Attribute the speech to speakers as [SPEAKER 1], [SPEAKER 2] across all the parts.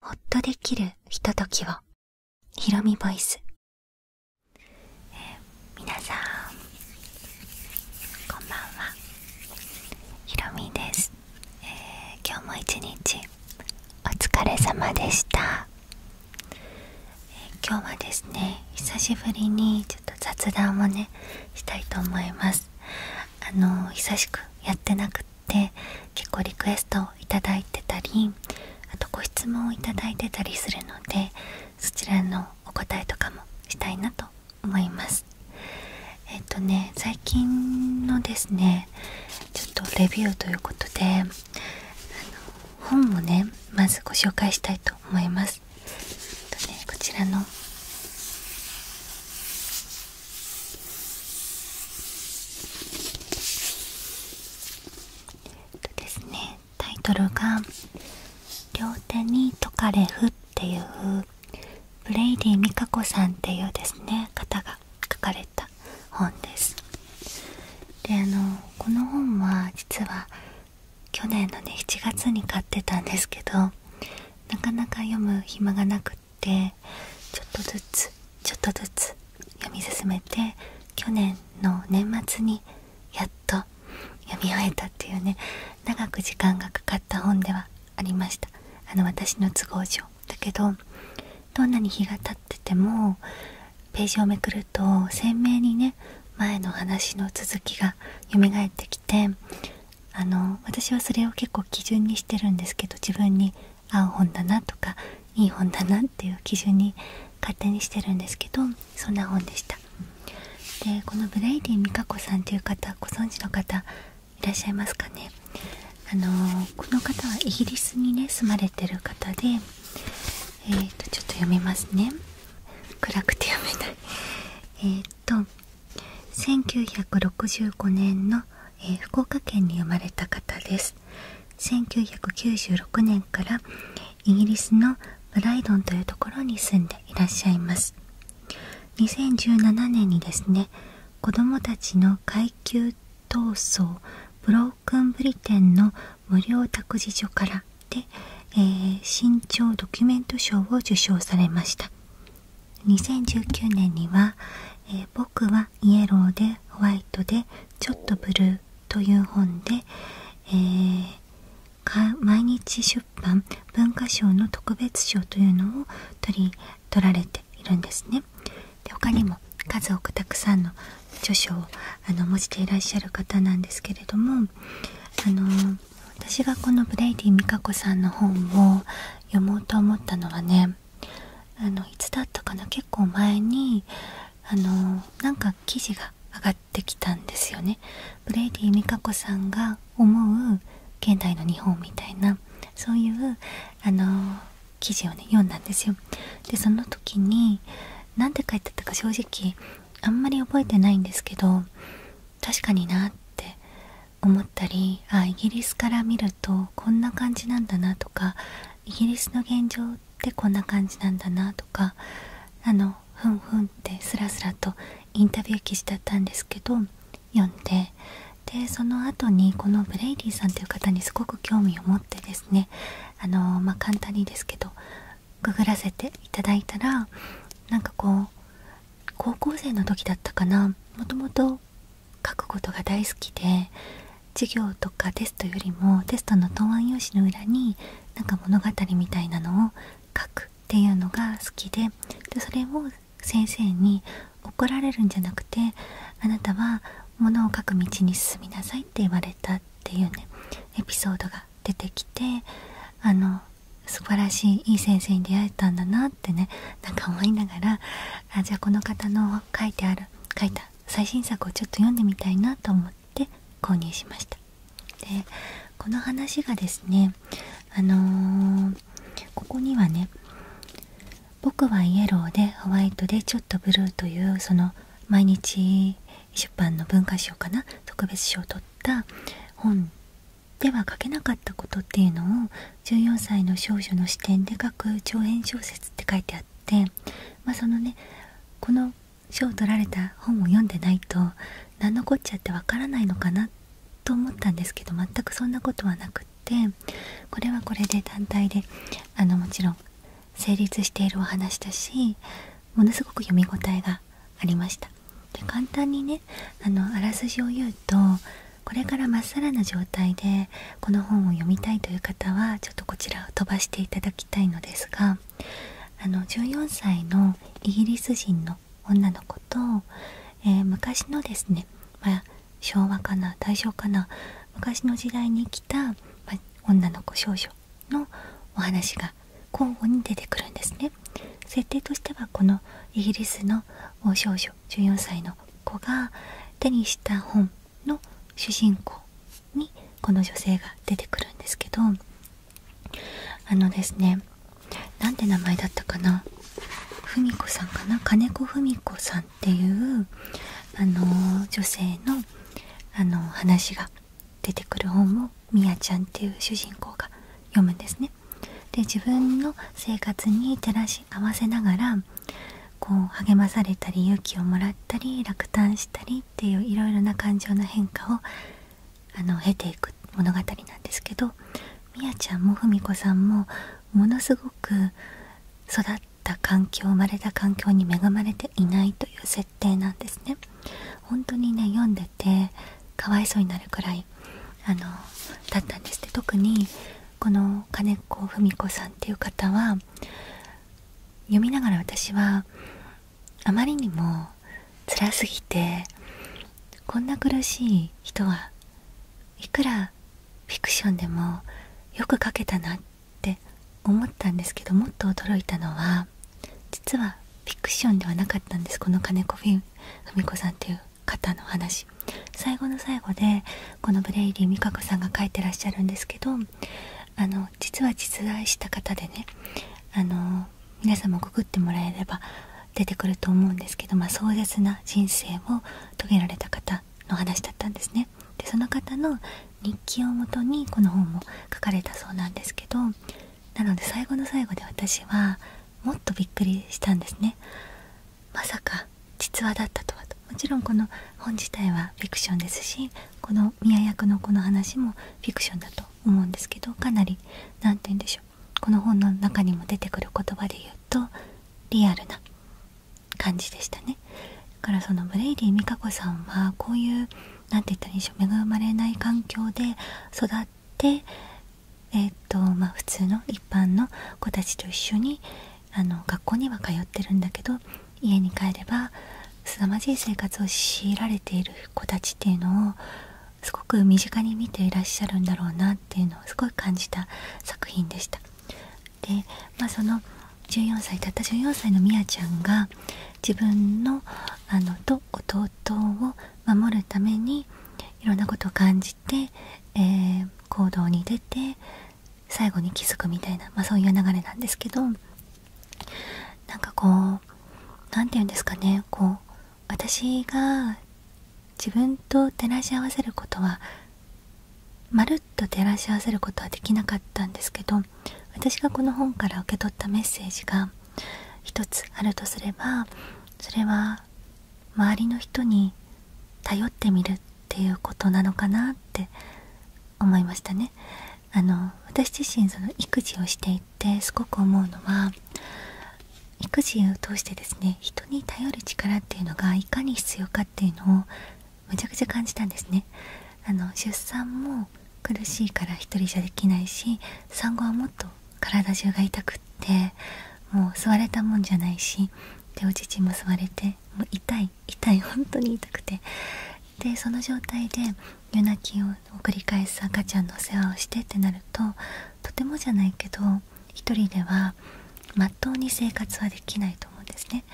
[SPEAKER 1] ほっとできるひとときをひろみボイス、皆さんこんばんはひろみです、今日も一日お疲れ様でした、今日はですね久しぶりにちょっと雑談をねしたいと思いますあの久しくやってなくって結構リクエストいただいてたりあとご質問をいただいてたりするのでそちらのお答えとかもしたいなと思いますえっとね最近のですねちょっとレビューということであの本をねまずご紹介したいと思います、えっとね、こちらのとですねタイトルが「両手に解かれ、ふっていうブレイディ・ミカコさんっていうですね方が書かれた本ですであのこの本は実は去年のね7月に買ってたんですけどなかなか読む暇がなくくちょっとずつちょっとずつ読み進めて去年の年末にやっと読み終えたっていうね長く時間がかかった本ではありましたあの私の都合上だけどどんなに日が経っててもページをめくると鮮明にね前の話の続きが蘇ってきてあの私はそれを結構基準にしてるんですけど自分に合う本だなとかいい本だなっていう基準に勝手にしてるんですけどそんな本でしたでこのブレイディ美香子さんっていう方ご存知の方いらっしゃいますかねあのこの方はイギリスにね住まれてる方でえっとちょっと読みますね暗くて読めない えっ、と1965年の、え福岡県に生まれた方です1996年からイギリスのブライドンというところに住んでいらっしゃいます2017年にですね子どもたちの階級闘争ブロークンブリテンの無料託児所からで、えー、新ドキュメント賞を受賞されました2019年には、僕はイエローでホワイトでちょっとブルーという本で、え毎日出版文化賞の特別賞というのを取り取られているんですねで他にも数多くたくさんの著書をあの持していらっしゃる方なんですけれどもあの私がこのブレイディ・ミカコさんの本を読もうと思ったのはねあのいつだったかな結構前にあのなんか記事が上がってきたんですよねブレイディ美香子さんが思う現代の日本みたいなそういうあの記事をね読んだんですよでその時に何て書いてあったか正直あんまり覚えてないんですけど確かになって思ったりあイギリスから見るとこんな感じなんだなとかイギリスの現状ってこんな感じなんだなとかあのふんふんってスラスラとインタビュー記事だったんですけど読んででその後にこのブレイリーさんっていう方にすごく興味を持ってですねあのま簡単にですけどググらせていただいたらなんかこう高校生の時だったかなもともと書くことが大好きで授業とかテストよりもテストの答案用紙の裏になんか物語みたいなのを書くっていうのが好きででそれを先生に怒られるんじゃなくてあなたは物を書く道に進みなさいって言われたっていうねエピソードが出てきてあの素晴らしいいい先生に出会えたんだなってねなんか思いながらあじゃあこの方の書いてある書いた最新作をちょっと読んでみたいなと思って購入しましたでこの話がですねあのここにはね「僕はイエローでホワイトでちょっとブルー」というその毎日出版の文化賞かな特別賞を取った本では書けなかったことっていうのを14歳の少女の視点で書く長編小説って書いてあって、まそのねこの賞を取られた本を読んでないと何のこっちゃってわからないのかなと思ったんですけど全くそんなことはなくってこれはこれで団体であのもちろん成立しているお話だしものすごく読み応えがありました。で簡単にねあのあらすじを言うとこれからまっさらな状態でこの本を読みたいという方はちょっとこちらを飛ばしていただきたいのですがあの14歳のイギリス人の女の子と、え昔のですね、ま昭和かな大正かな昔の時代に来た、女の子少女のお話が交互に出てくるんですね。設定としてはこのイギリスの少女14歳の子が手にした本の主人公にこの女性が出てくるんですけどあのですねなんて名前だったかな芙子さんかな金子芙美子さんっていうあの女性のあの話が出てくる本をみやちゃんっていう主人公が読むんですね。で自分の合わせながらこう励まされたり勇気をもらったり落胆したりっていういろいろな感情の変化をあの経ていく物語なんですけどみやちゃんもふみこさんもものすごく育った環境生まれた環境に恵まれていないという設定なんですね。本当にね読んでてかわいそうになるくらいあのだったんですって特にこの金子文子さんっていう方は読みながら私はあまりにも辛すぎてこんな苦しい人はいくらフィクションでもよく描けたなって思ったんですけどもっと驚いたのは実はフィクションではなかったんですこの金子文子さんっていう方の話最後の最後でこのブレイリー美香子さんが書いてらっしゃるんですけどあの実は実在した方でねあの皆さんもくグってもらえれば出てくると思うんですけど、ま壮絶な人生を遂げられた方の話だったんですね。でその方の日記をもとにこの本も書かれたそうなんですけどなので最後の最後で私はもっとびっくりしたんですねまさか実話だったとはともちろんこの本自体はフィクションですしこの宮役のこの話もフィクションだと思うんですけどかなり何て言うんでしょうこの本の中にも出てくる言葉で言うとリアルな感じでしたね。だからそのブレイディ美香子さんはこういう何て言ったらいいんでしょう恵まれない環境で育ってえっ、とまあ普通の一般の子たちと一緒にあの学校には通ってるんだけど家に帰れば凄まじい生活を強いられている子たちっていうのをすごく身近に見ていらっしゃるんだろうなっていうのをすごい感じた作品でした。でまあその14歳たった14歳のみやちゃんが自分のあのと弟を守るためにいろんなことを感じしえ行動に出て最後に気づくみたいな、まそういう流れなんですけどなんかこう何て言うんですかねこう私が自分と照らし合わせることはまるっと照らし合わせることはできなかったんですけど私がこの本から受け取ったメッセージが一つあるとすればそれは周りの人に頼ってみるっていうこなのかなって思いましたね。あの私自身その育児をしていてすごく思うのは育児を通してですね人に頼る力っていうのがいかに必要かっていうのをむちゃくちゃ感じたんですね。あの出産も苦しいから一人じゃできないし産後はもっと体中が痛くってもう座れたもんじゃないしでお乳も吸われて痛い痛い本当に痛くてその状態で夜泣きを繰り返す赤ちゃんのお世話をしてってなるととてもじゃないけど一人ではまっとうに生活はできないと思うんですね。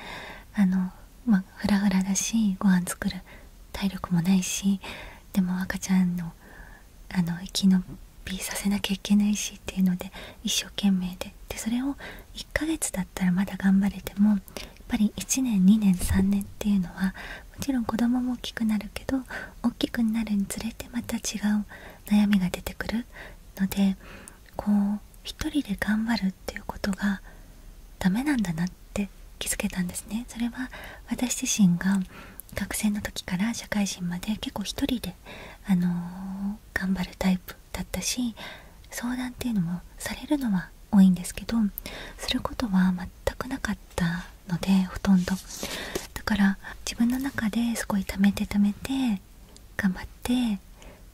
[SPEAKER 1] あのまあ、フラフラだしご飯作る体力もないしでも赤ちゃんのあの生き延びさせなきゃいけないしっていうので一生懸命ででそれを1ヶ月だったらまだ頑張れてもやっぱり1年2年3年っていうのはもちろん子供も大きくなるけど大きくなるにつれてまた違う悩みが出てくるのでこう一人で頑張るっていうことがダメなんだなって気づけたんですね。それは私自身が学生の時から社会人まで結構1人で、あの頑張るタイプだったし相談っていうのもされるのは多いんですけどすることは全くなかったのでほとんどだから自分の中ですごいためて溜めて頑張って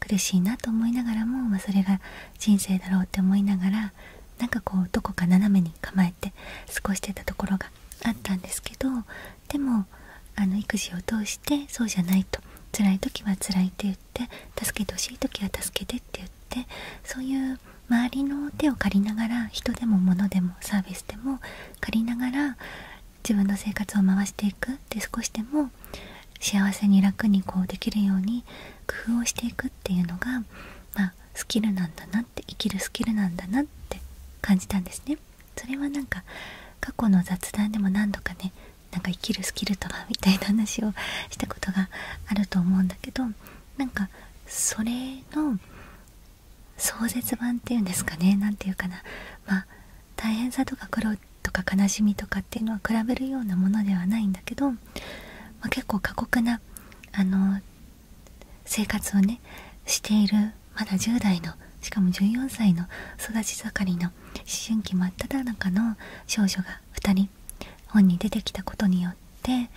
[SPEAKER 1] 苦しいなと思いながらも、まそれが人生だろうって思いながらなんかこうどこか斜めに構えて過ごしてたところがあったんですけど、でもあの育児を通してそうじゃないと辛い時は辛いって言って助けてほしい時は助けてって言ってそういう周りの手を借りながら人でも物でもサービスでも借りながら自分の生活を回していくで少しでも幸せに楽にこうできるように工夫をしていくっていうのが、まスキルなんだなって生きるスキルなんだなって感じたんですね。それはなんか過去の雑談でも何度かねなんか生きるスキルとはみたいな話をしたことがあると思うんだけどなんかそれの壮絶版っていうんですかね何て言うかなま大変さとか苦労とか悲しみとかっていうのは比べるようなものではないんだけど、ま結構過酷なあの生活をねしているまだ10代のしかも14歳の育ち盛りの思春期真っ只中の少女が2人本に出てきたことによって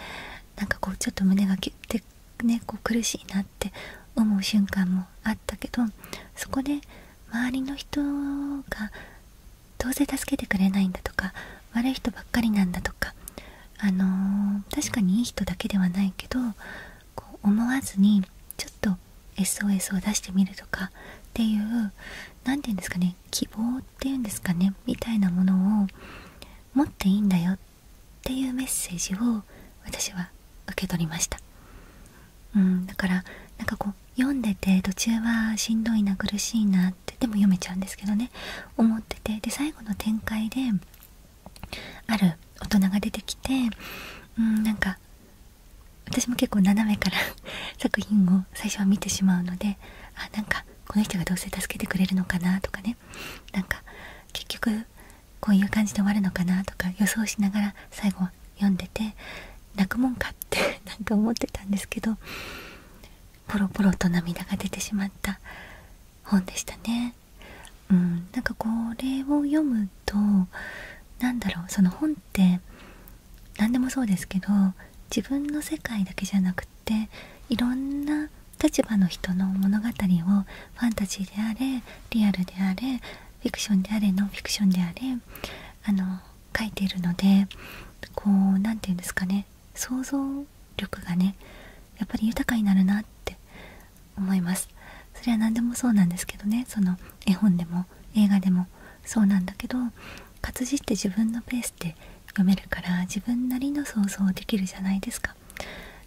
[SPEAKER 1] なんかこうちょっと胸がギュッて、ね、こう苦しいなって思う瞬間もあったけどそこで周りの人がどうせ助けてくれないんだとか悪い人ばっかりなんだとか、あの確かにいい人だけではないけどこう思わずにちょっと SOS を出してみるとかっていう何て言うんですかね希望っていうんですかねみたいなものを持っていいんだよっていうメッセージを私は受け取りましたうんだからなんかこう読んでて途中はしんどいな苦しいなってでも読めちゃうんですけどね思っててで最後の展開である大人が出てきてうんなんか私も結構斜めから 作品を最初は見てしまうのであなんかこの人がどうせ助けてくれるのかなとかねなんか結局こういう感じで終わるのかなとか予想しながら最後読んでて泣くもんかって なんか思ってたんですけどポロポロと涙が出てしまった本でしたね。うん、なんかうとなんだろうその本って何でもそうですけど自分の世界だけじゃなくっていろんな立場の人の物語をファンタジーであれリアルであれフィクションであれノンフィクションであれあの書いているのでこう何て言うんですかね想像力がねやっぱり豊かになるなって思いますそれは何でもそうなんですけどねその絵本でも映画でもそうなんだけど活字って自分のペースで読めるから自分なりの想像できるじゃないですかっ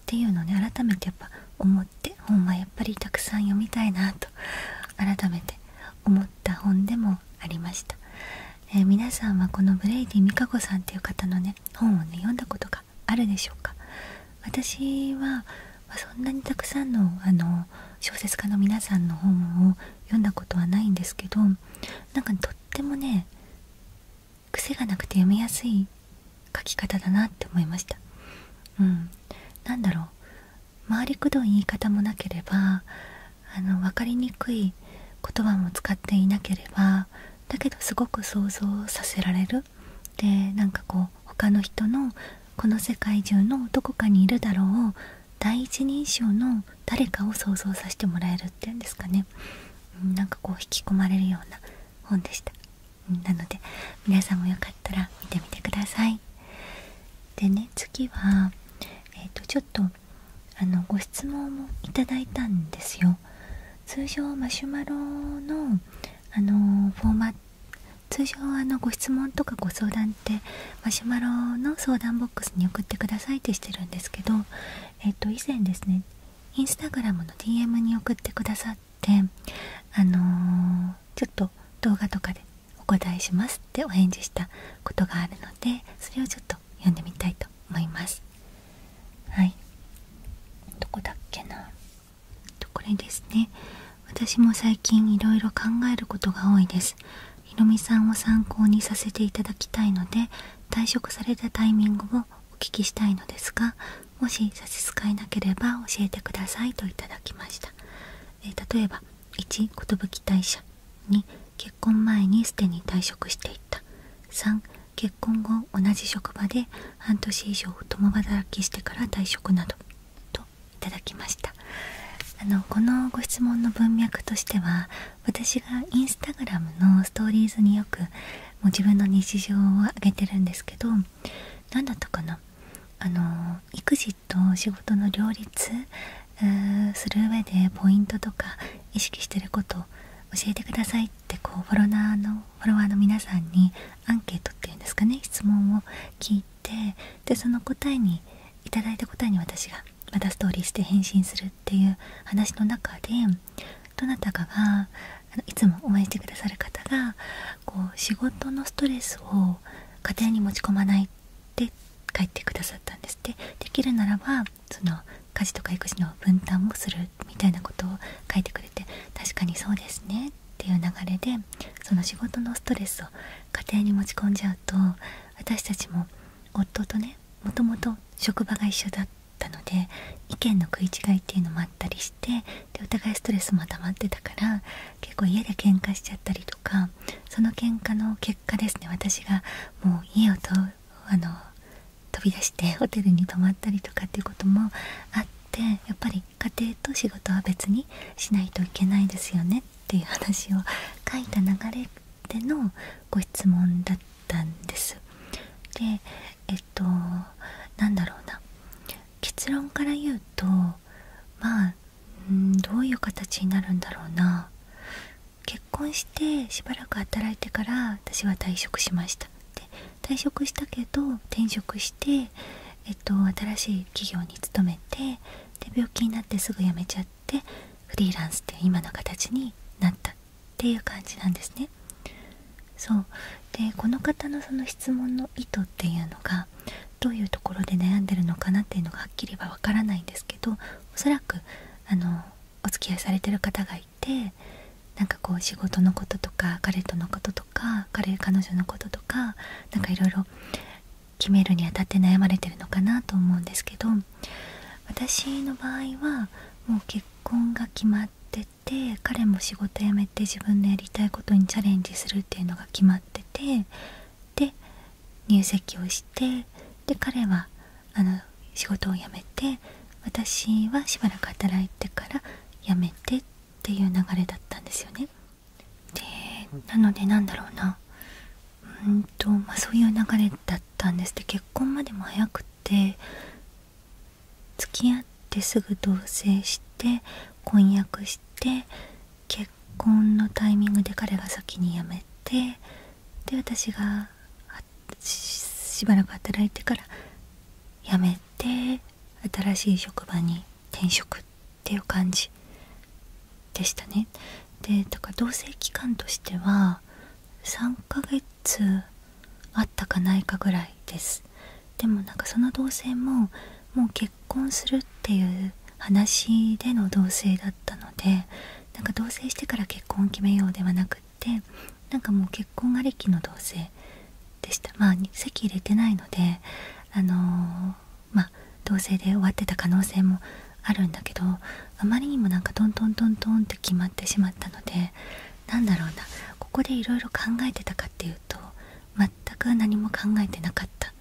[SPEAKER 1] ていうのをね改めてやっぱ思って本はやっぱりたくさん読みたいなと改めて思った本でもありました、え皆さんはこのブレイディ・ミカコさんっていう方のね本をね読んだことがあるでしょうか私はそんなにたくさんのあの小説家の皆さんの本を読んだことはないんですけどなんかとってもね癖がなくて読みやすい書き方だなって思いましたうんなんだろう回りくどい言い方もなければあの分かりにくい言葉も使っていなければだけどすごく想像させられるでなんかこう他の人のこの世界中のどこかにいるだろう第一人称の誰かを想像させてもらえるっていうんですかね、うなんかこう引き込まれるような本でした、なので皆さんもよかったら見てみてくださいでね次はえっ、とちょっとあのご質問もいただいたんですよ通常マシュマロのあのフォーマ通常あのご質問とかご相談ってマシュマロの相談ボックスに送ってくださいってしてるんですけど、えっと、以前ですねインスタグラムの DM に送ってくださってあのちょっと動画とかでお答えしますってお返事したことがあるのでそれをちょっと読んでみたいと思いますはいどこだっけなこれですね私も最近いろいろ考えることが多いですひろみさんを参考にさせていただきたいので退職されたタイミングをお聞きしたいのですがもし差し支えなければ教えてくださいといただきました、え例えば1寿退社2結婚前にすでに退職していった3結婚後同じ職場で半年以上共働きしてから退職などといただきましたあのこのご質問の文脈としては私が instagram のストーリーズによくもう自分の日常をあげてるんですけど何だったかなあの育児と仕事の両立する上でポイントとか意識してること教えてくださいってこうフォロワーのフォロワーの皆さんにアンケートっていうんですかね質問を聞いでその答えにいただいた答えに私がまたストーリーして返信するっていう話の中でどなたかがいつも応援してくださる方がこう仕事のストレスを家庭に持ち込まないって書いてくださったんですってできるならばその家事とか育児の分担もするみたいなことを書いてくれて確かにそうですねっていう流れでその仕事のストレスを家庭に持ち込んじゃうと私たちも夫とねもともと職場が一緒だったので意見の食い違いっていうのもあったりしてでお互いストレスも溜まってたから結構家で喧嘩しちゃったりとかその喧嘩の結果ですね私がもう家をとあの飛び出してホテルに泊まったりとかっていうこともあってやっぱり家庭と仕事は別にしないといけないですよねっていう話を書いた流れでのご質問だったんです。でえっと何だろうな結論から言うとまあんどういう形になるんだろうな結婚してしばらく働いてから私は退職しました。で退職したけど転職しして、えっと、新しい企業に勤めてで病気になってすぐ辞めちゃってフリーランスって今の形になったっていう感じなんですね。そうでこの方のその質問の意図っていうのがどういうところで悩んでるのかなっていうのがはっきりはわからないんですけどおそらくあのお付き合いされてる方がいてなんかこう仕事のこととか彼とのことと彼彼女のこととか何かいろいろ決めるにあたって悩まれてるのかなと思うんですけど私の場合はもう結婚が決まってて彼も仕事辞めて自分のやりたいことにチャレンジするっていうのが決まっててで入籍をしてで彼はあの仕事を辞めて私はしばらく働いてから辞めてっていう流れだったんですよね。でなのでなんだろうなうんとまあそういう流れだったんですで結婚までも早くて付き合ってすぐ同棲して婚約して結婚のタイミングで彼が先に辞めてで私がしばらく働いてから辞めて新しい職場に転職っていう感じでしたねでだから同棲期間としては3ヶ月あったかないかぐらいですでもなんかその同棲ももう結婚するっていう話での同棲だったのでなんか同棲してから結婚を決めようではなくってなんかもう結婚ありきの同棲でしたまあ籍入れてないのであのまあ同棲で終わってた可能性もあるんだけどあまりにもなんかトントントントンって決まってしまったのでなんだろうなここでいろいろ考えてたかっていうと全く何も考えてなかった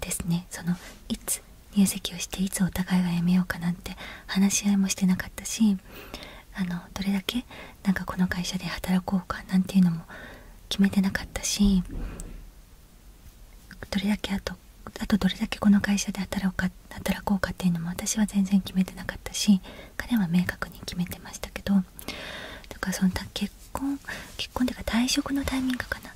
[SPEAKER 1] ですねそのいつ入籍をしていつお互いが辞めようかなんて話し合いもしてなかったしあのどれだけなんかこの会社で働こうかなんていうのも決めてなかったしどれだけあとどれだけこの会社で働こうか働こうかっていうのも私は全然決めてなかったし彼は明確に決めてましたけどだからその結婚結婚っていうか退職のタイミングかな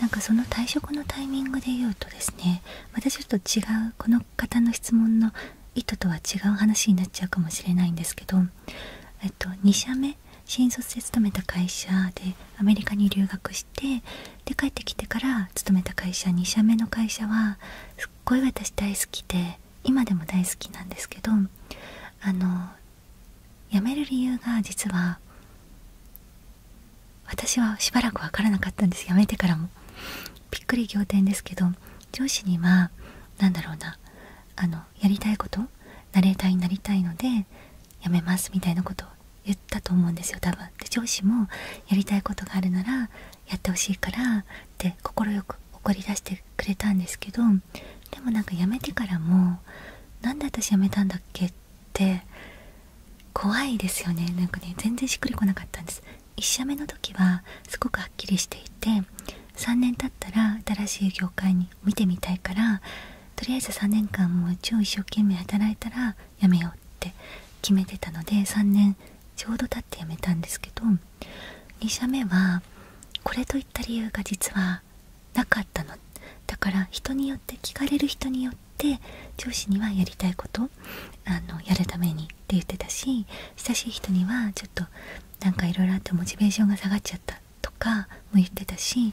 [SPEAKER 1] なんかその退職のタイミングで言うとですねまたちょっと違うこの方の質問の意図とは違う話になっちゃうかもしれないんですけど、えっと、2社目新卒で勤めた会社でアメリカに留学してで帰ってきてから勤めた会社2社目の会社はすっごい私大好きで今でも大好きなんですけどあの辞める理由が実は私はしばらく分からなかったんです辞めてからもびっくり仰天ですけど上司には何だろうなあのやりたいことナレータになりたいのでやめますみたいなことを言ったと思うんですよ多分で上司もやりたいことがあるならやってほしいからって快く怒り出してくれたんですけどでもなんか辞めてからもなんで私辞めたんだっけって怖いですよねなんかね全然しっくりこなかったんです1社目の時はすごくはっきりしていて3年経ったら新しい業界に見てみたいからとりあえず3年間もう超一生懸命働いたら辞めようって決めてたので3年ちょうど経って辞めたんですけど2社目はこれといった理由が実はなかったのだから人によって聞かれる人によって上司にはやりたいことあのやるためにって言ってたし親しい人にはちょっとなんかいろいろあってモチベーションが下がっちゃったとかも言ってたし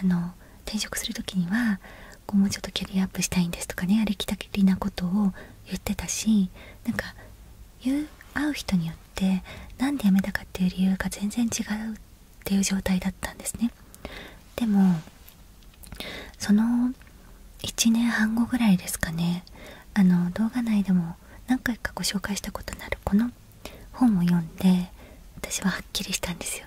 [SPEAKER 1] あの転職する時にはこうもうちょっとキャリアアップしたいんですとかねありきたりなことを言ってたしなんか言う会う人によって何で辞めたかっていう理由が全然違うっていう状態だったんですね。でもその1年半後ぐらいですかねあの動画内でも何回かご紹介したことのあるこの本を読んで私ははっきりしたんですよ。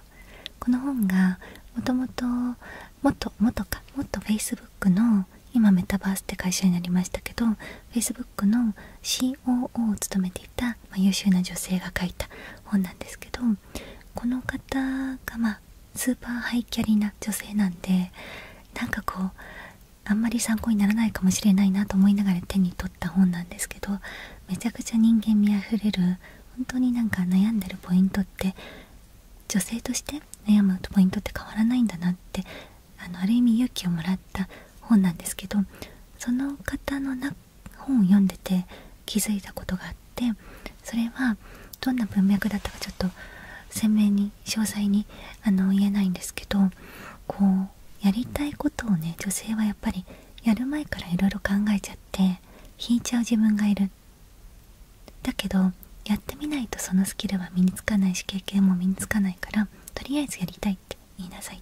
[SPEAKER 1] この本がもともともっともっとかもっと Facebook の今メタバースって会社になりましたけど Facebook の COO を務めていた、ま優秀な女性が書いた本なんですけどこの方がまあスーパーハイキャリな女性なんでなんかこうあんまり参考にならないかもしれないなと思いながら手に取た本なんですけどめちゃくちゃ人間味あふれる本当になんか悩んでるポイントって女性として悩むポイントって変わらないんだなってあのある意味勇気をもらった本なんですけどその方のな本を読んでて気づいたことがあってそれはどんな文脈だったかちょっと鮮明に詳細にあの言えないんですけどこうやりたいことをね女性はやっぱりやる前からいろいろ考えちゃって引いちゃう自分がいるだけどやってみないとそのスキルは身につかないし経験も身につかないからとりあえずやりたいって言いなさいっ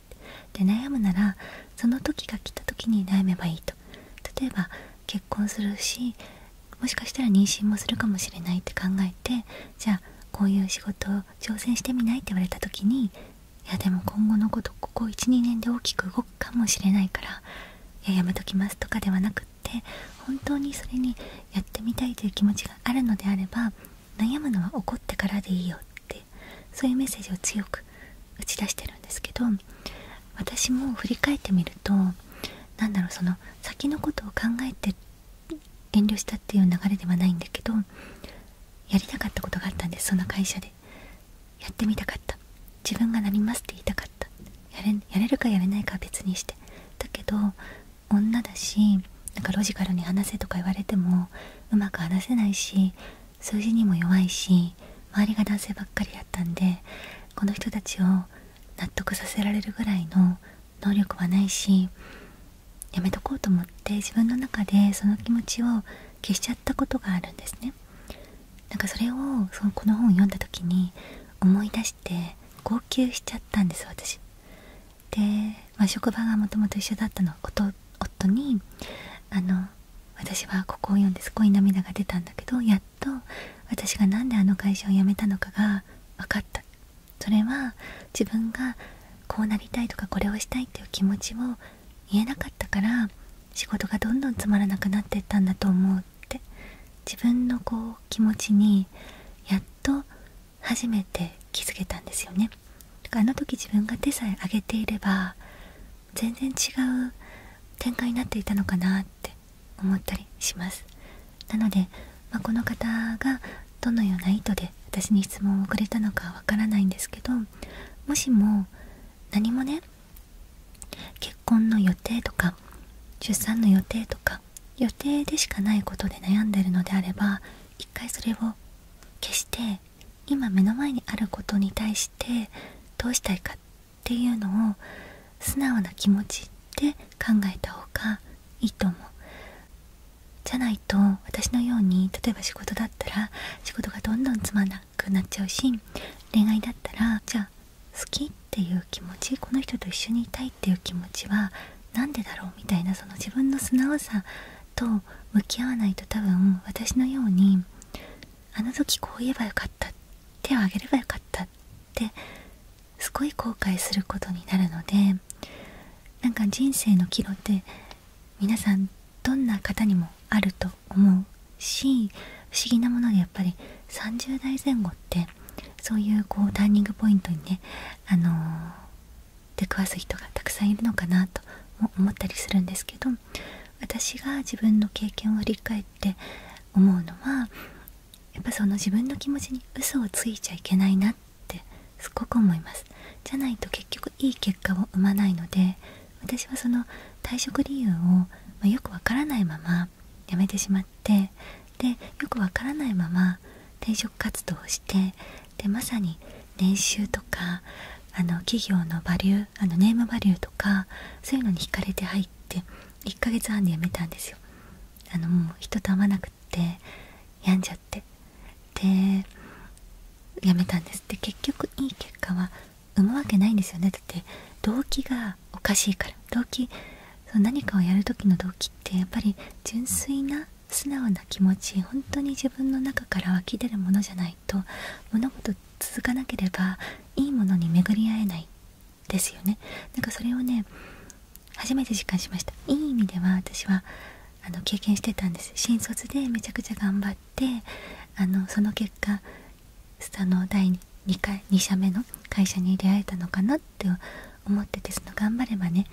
[SPEAKER 1] てで悩むならその時が来た時に悩めばいいと例えば結婚するしもしかしたら妊娠もするかもしれないって考えてじゃあこういう仕事を挑戦してみないって言われた時にいやでも今後のことここ12年で大きく動くかもしれないからいややめときますとかではなくって本当にそれにやってみたいという気持ちがあるのであれば悩むのは怒ってからでいいよってそういうメッセージを強く打ち出してるんですけど私も振り返ってみると何だろうその先のことを考えて遠慮したっていう流れではないんだけどやりたかったことがあったんですその会社でやってみたかった自分がなりますって言いたかったやれやれるかやれないかは別にしてだけど女だしなんかロジカルに話せとか言われてもうまく話せないし数字にも弱いし周りが男性ばっかりだったんでこの人たちを納得させられるぐらいの能力はないしやめとこうと思って自分の中でその気持ちを消しちゃったことがあるんですねなんかそれをそのこの本を読んだ時に思い出して号泣しちゃったんです私で、ま職場がもともと一緒だったの夫夫にあの私はここを読んですごい涙が出たんだけどやっと私が何であの会社を辞めたのかが分かったそれは自分がこうなりたいとかこれをしたいっていう気持ちを言えなかったから仕事がどんどんつまらなくなってたんだと思って自分のこう気持ちにやっと初めて気づけたんですよねだからあの時自分が手さえ上げていれば全然違う展開になっていたのかなって思ったりしますなので、まあ、この方がどのような意図で私に質問をくれたのかわからないんですけどもしも何もね結婚の予定とか出産の予定とか予定でしかないことで悩んでるのであれば一回それを消して今目の前にあることに対してどうしたいかっていうのを素直な気持ちで考えた方がいいと思うじゃないと私のように例えば仕事だったら仕事がどんどんつまんなくなっちゃうし恋愛だったらじゃあ好きっていう気持ちこの人と一緒にいたいっていう気持ちは何でだろうみたいなその自分の素直さと向き合わないと多分私のようにあの時こう言えばよかった手を挙げればよかったってすごい後悔することになるのでなんか人生の岐路って皆さんどんな方にもあると思うし不思議なものでやっぱり30代前後ってそういうこうターニングポイントにね、あの出くわす人がたくさんいるのかなとも思ったりするんですけど私が自分の経験を振り返って思うのはやっぱその自分の気持ちに嘘をついちゃいけないなってってすごく思いますじゃないと結局いい結果を生まないので私はその退職理由を、まよくわからないまま辞めてしまってでよくわからないまま転職活動をしてでまさに年収とかあの企業のバリューあのネームバリューとかそういうのに惹かれて入って1ヶ月半で辞めたんですよあのもう人と会わなくって病んじゃってで辞めたんですって結局いい結果は生むわけないんですよねだって動機がおかしいから動機その何かをやる時の動機ってやっぱり純粋な素直な気持ち本当に自分の中から湧き出るものじゃないと物事続かなければいいものに巡り合えないですよねなんかそれをね初めて実感しましたいい意味では私はあの経験してたんです新卒でめちゃくちゃ頑張ってあのその結果あの第 2, 回2社目の会社に出会えたのかなって思っててその頑張ればね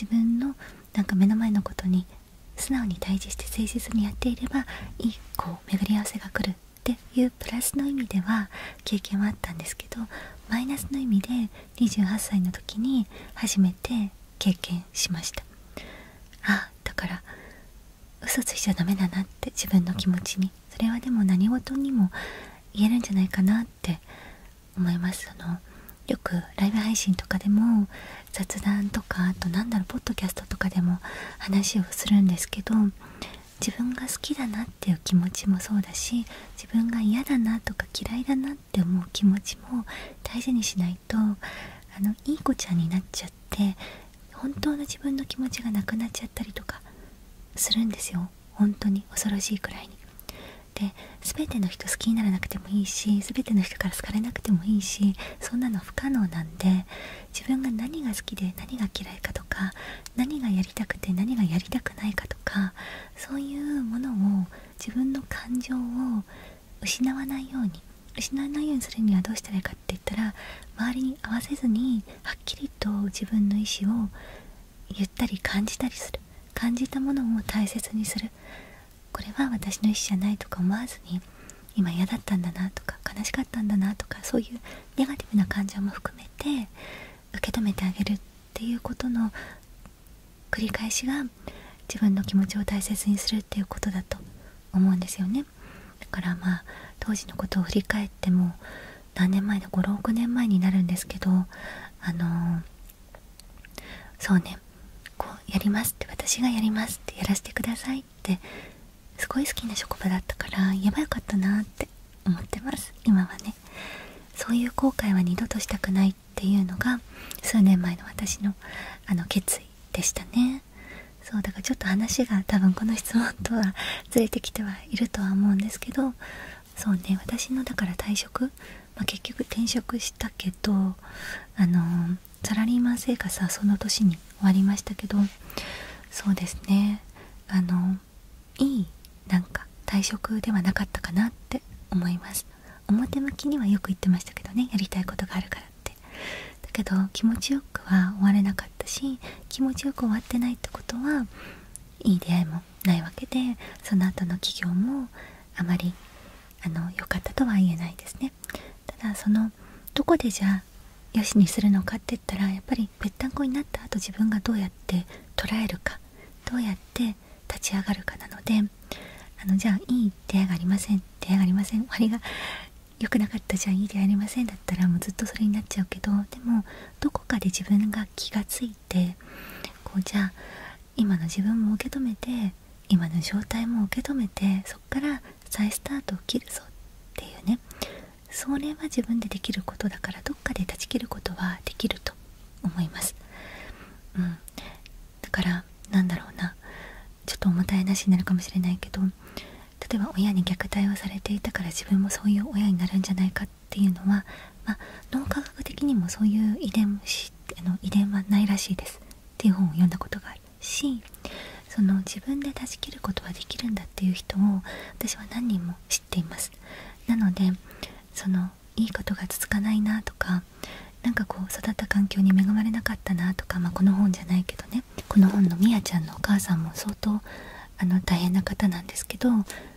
[SPEAKER 1] 自分のなんか目の前のことに素直に対峙して誠実にやっていればいいこう巡り合わせが来るっていうプラスの意味では経験はあったんですけどマイナスの意味で28歳の時に初めて経験しました。しあだから嘘ついちゃダメだなって自分の気持ちにそれはでも何事にも言えるんじゃないかなって思いますそのよくライブ配信とかでも雑談とかあとなんだろうポッドキャストとかでも話をするんですけど自分が好きだなっていう気持ちもそうだし自分が嫌だなとか嫌いだなっってう気持ちも大事にしないとあのいい子ちゃんになっちゃって本当の自分の気持ちがなくなっちゃったりとかするんですよ本当に恐ろしいくらいに。で全ての人好きにならなくてもいいし全ての人から好かれなくてもいいしそんなの不可能なんで自分が何が好きで何が嫌いかとか何がやりたくて何がやりたくないかとかそういうものを自分の感情を失わないように失わないようにするにはどうしたらいいかって言ったら周りに合わせずにはっきりと自分の意思を言ったり感じたりする感じたものを大切にするこれは私の意思じゃないとか思わずに今嫌だったんだなとか悲しかったんだなとかそういうネガティブな感情も含めて受け止めてあげるっていうことの繰り返しが自分の気持ちを大切にするっていうことだと思うんですよねだからまあ当時のことを振り返っても何年前だ56年前になるんですけどあのそうねこうやりますって私がやりますってやらせてくださいってすごい好きな職場だったからやばよかったなって思ってます今はねそういう後悔は二度としたくっていうのが数年前の私のあの決意でしたねそうだからちょっと話が多分この質問とはずれてきてはいるとは思うんですけどそうね私のだから退職、まあ、結局転職したけどあのサラリーマン生活はその年に終わりましたけどそうですねあのいいなんか退職ではなかったかなって思います表向きにはよく言ってましたけどねやりたいことがあるからってだけど気持ちよくは終われなかったし気持ちよく終わってないってことはいい出会いもないわけでその後の企業もあまり良かったとは言えないですねただそのどこでじゃあよしにするのかって言ったらやっぱりぺったんこになった後自分がどうやって捉えるかどうやって立ち上がるかなのであのじゃあいい出会いがありません出会いがありません終わりが良くなかったじゃあいい出会いありませんだったらもうずっとそれになっちゃうけどでもどこかで自分が気がついてこうじゃあ今の自分も受け止めて今の状態も受け止めてそっから再スタートを切るぞっていうねそれは自分でできることだからどっかで断ち切ることはできると思います。うん、だからなんだろうなちょっと重たい話になるかもしれないけど例えば親に虐待をされていたから自分もそういう親になるんじゃないかっていうのは、まあ、脳科学的にもそういう遺伝しあの遺伝はないらしいですっていう本を読んだことがあるしその自分で断ち切ることはできるんだっていう人を私は何人も知っていますなのでそのいいことが続かないなとかなんかこう育った環境に恵まれなかったなとか、まあ、この本じゃないけどねこの本のみやちゃんのお母さんも相当あの大変な方なんですけど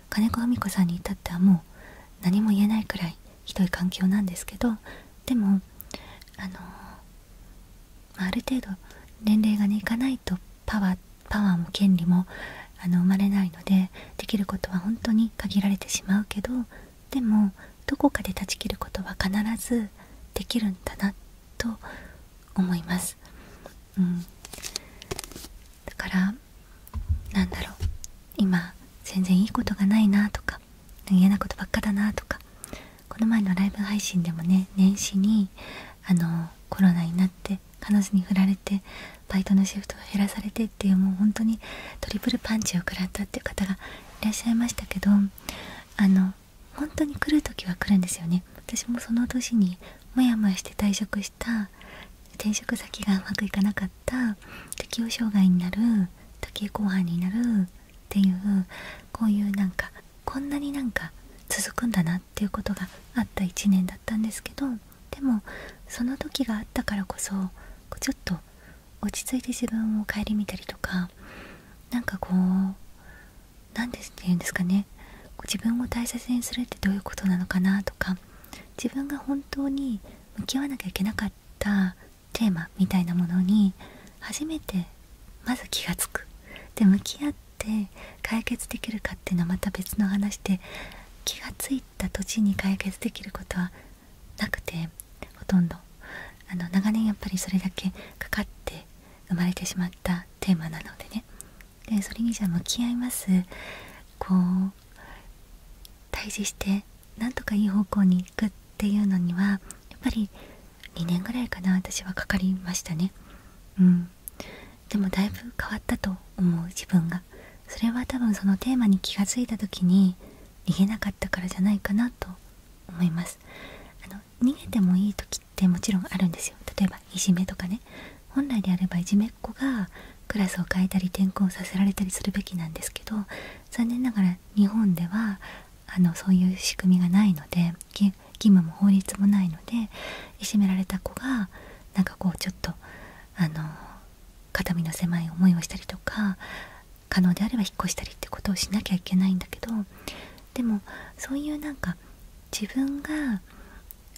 [SPEAKER 1] 金子文子さんに至ってはもう何も言えないくらいひどい環境なんですけどでもあの、まあ、る程度年齢がねいかないとパワーパワーも権利もあの生まれないのでできることは本当に限られてしまうけどでもどこかで断ち切ることは必ずできるんだなと思います、うん、からなんだろう今全然いいことがないなとか嫌なことばっかだなとかこの前のライブ配信でもね年始にあのコロナになって彼女に振られてバイトのシフトが減らされてっていうもう本当にトリプルパンチを食らったっていう方がいらっしゃいましたけどあの本当に来る時は来るんですよね私もその年にモヤモヤして退職した転職先がうまくいかなかった適応障害になる時、計後半になるっていうこういうなんかこんなになんか続くんだなっていうことがあった1年だったんですけどでもその時があったからこそちょっと落ち着いて自分を顧みたりとか何かこう何て言うんですかね自分を大切にするってどういうことなのかなとか自分が本当に向き合わなきゃいけなかったテーマみたいなものに初めてまず気が付くで向き合って解決できるかっていうのはまた別の話で気が付いた土地に解決できることはなくてほとんどあの長年やっぱりそれだけかかって生まれてしまったテーマなのでねでそれにじゃあ向き合いますこう対峙してなんとかいい方向に行くっていうのにはやっぱり2年ぐらいかな私はかかりましたねうんでもだいぶ変わったと思う自分がそれは多分そのテーマに気がついた時に逃げなかったからじゃないかなと思いますあの逃げてもいい時ってもちろんあるんですよ例えばいじめとかね本来であればいじめっ子がクラスを変えたり転校させられたりするべきなんですけど残念ながら日本ではあのそういう仕組みがないので義務も法律もないのでいじめられた子がなんかこうちょっとあの肩身の狭い思いをしたりとか可能であれば引っ越したりってことをしなきゃいけないんだけどでもそういうなんか自分が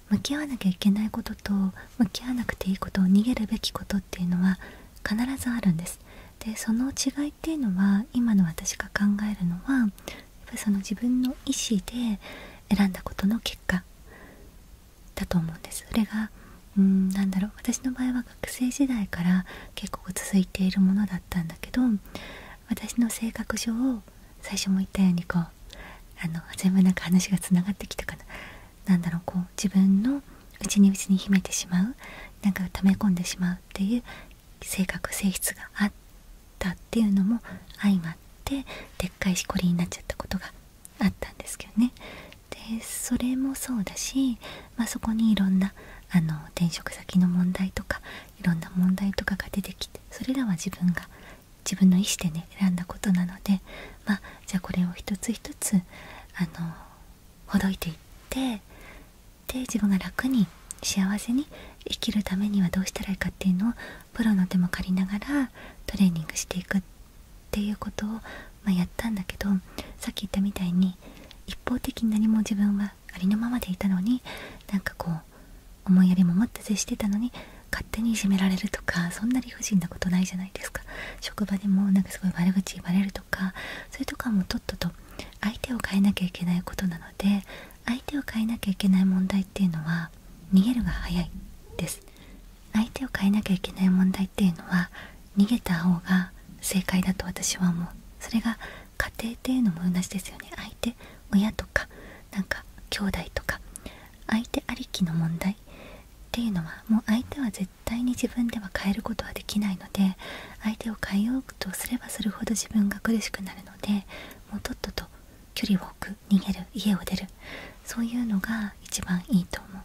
[SPEAKER 1] 向き合わなきゃいけないことと向き合わなくていいことを逃げるべきことっていうのは必ずあるんです。でその違いっていうのは今の私が考えるのはやっぱりその自分の意思で選んだことの結果だと思うんです。それがうんなんだろう私の場合は学生時代から結構続いているものだったんだけど私の性格上最初も言ったようにこうあの全部なんか話がつながってきたかななだろうこう自分の内に内に秘めてしまうなんか溜め込んでしまうっていう性格性質があったっていうのも相まってでっかいしこりになっちゃったことがあったんですけどねでそれもそうだし、まあ、そこにいろんなあの転職先の問題とかいろんな問題とかが出てきてそれらは自分が自分の意思でね選んだことなので、まじゃあこれを一つ一つあのほどいていってで自分が楽に幸せに生きるためにはどうしたらいいかっていうのをプロの手も借りながらトレーニングしていくっていうことを、まやったんだけどさっき言ったみたいに一方的に何も自分はありのままでいたのになんかこう思いやりももっと接してたのに勝手にいじめられるとかそんな理不尽なことないじゃないですか職場でもなんかすごい悪口言われるとかそれとかもとっとと相手を変えなきゃいけないことなので相手を変えなきゃいけない問題っていうのは逃げるが早いです相手を変えなきゃいけないっていうのは逃げた方が正解だと私は思うそれが家庭っていうのも同じですよね相手親とかなんか兄弟とか相手ありきの問題っていうのはもう相手は絶対に自分では変えることはできないので相手を変えようとすればするほど自分が苦しくなるのでもうとっとと距離を置く逃げる家を出るそういうのが一番いいと思う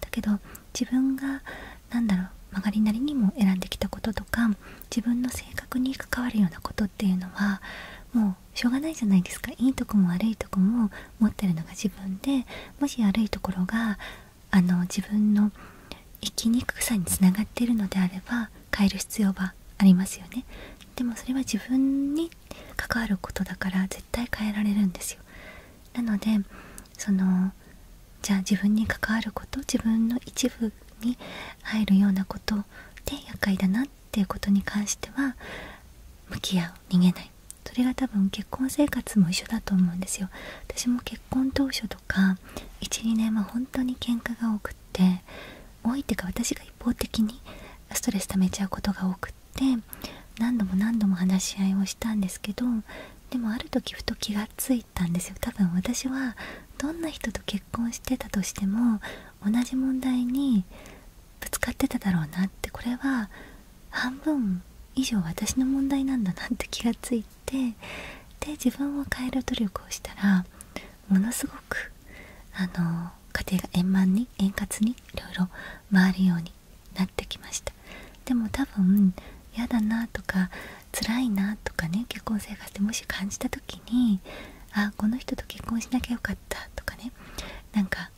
[SPEAKER 1] だけど自分がなんだろう曲がりなりにも選んできたこととか自分の性格に関わるようなことっていうのはもうしょうがないじゃないですかいいとこも悪いとこも持ってるのが自分でもし悪いところがあの自分の生きにくさにつながっているのであれば変える必要はありますよねでもそれは自分に関わることだから絶対変えられるんですよなのでそのじゃあ自分に関わること自分の一部に入るようなことで厄介だなっていうことに関しては向き合う逃げないそれが多分結婚生活も一緒だと思うんですよ私も結婚当初とか12年は本当に喧嘩が多くって多いっていうか私が一方的にストレス溜めちゃうことが多くって何度も何度も話し合いをしたんですけどでもある時ふと気がついたんですよ多分私はどんな人と結婚してたとしても同じ問題にぶつかってただろうなってこれは半分以上私の問題なんだなって気がついてで自分を変える努力をしたらものすごくあの家庭が円満に円滑にいろいろ回るようになってきましたでも多分嫌だなとか辛いなとかね結婚生活でもし感じた時にああこの人と結婚しなきゃよかったとかねなんか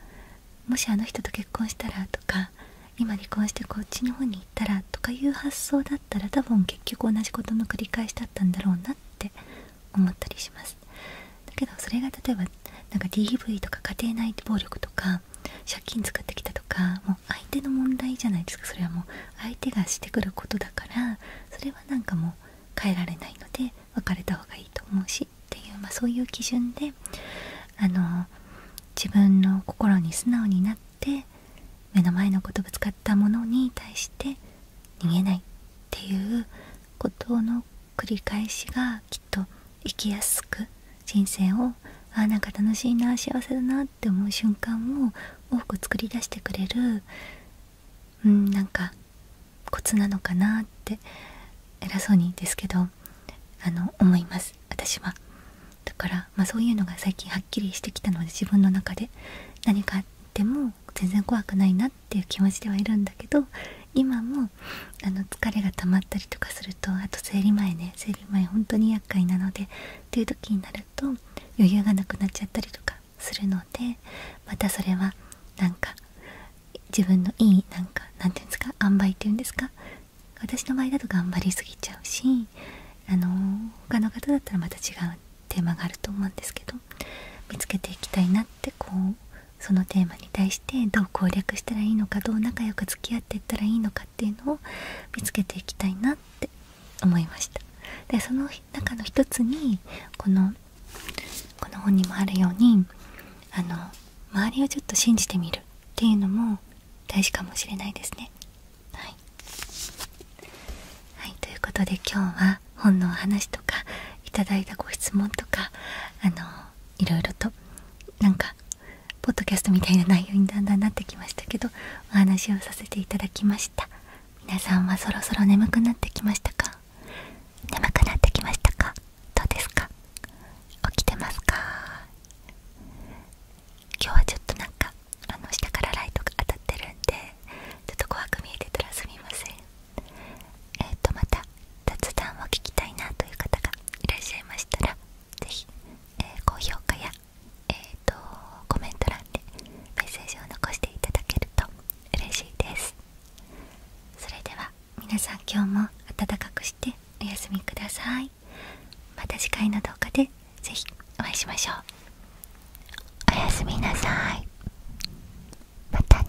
[SPEAKER 1] もしあの人と結婚したらとか今離婚してこっちの方に行ったらとかいう発想だったら多分結局同じことの繰り返しだったんだろうなって思ったりしますだけどそれが例えばなか DV とか家庭内暴力とか借金作ってきたとかもう相手の問題じゃないですかそれはもう相手がしてくることだからそれはなんかもう変えられないので別れた方がいいと思うしっていう、まそういう基準であの自分の心に素直になって目の前のことぶつかったものに対して逃げないっていうことの繰り返しがきっと生きやすく人生をあなんか楽しいな幸せだなって思う瞬間を多く作り出してくれるうんなんかコツなのかなって偉そうにですけどあの思います私は。だから、まあ、そういうのが最近はっきりしてきたので自分の中で何かあっても全然怖くないなっていう気持ちではいるんだけど今もあの疲れが溜まったりとかするとあと生理前ね生理前本当に厄介なのでという時になると余裕がなくなっちゃったりとかするのでまたそれはなんか自分のいいなんかなんて言うんですか塩梅っていうんですか私の場合だと頑張りすぎちゃうしあの他の方だったらまた違うテーマがあると思うんですけど見つけていきたいなってこうそのテーマに対してどう攻略したらいいのかどう仲良く付き合っていったらいいのかっていうのを見つけていきたいなって思いましたでその中の一つにこのこの本にもあるようにあの周りをちょっと信じてみるっていうのも大事かもしれないですねはい、ということで今日は本のお話とかいただいたご質問とかあのいろいろとなんかポッドキャストみたいな内容にだんだんなってきましたけどお話をさせていただきました皆さんはそろそろ眠くなってきましたか眠くなってきましたかどうですか起きてますか今日はちょっとなんかあの下からライトが当たってるんでちょっと怖く見えてたらすみませんえっ、とまた雑談を聞きたいなという方がいらっしゃいましたらぜひ、え高評価や、えー、とコメント欄でメッセージを残していただけると嬉しいですそれでは皆さん今日も暖かくしてお休みくださいまた次回の動画でぜひお会いしましょうおやすみなさいまたね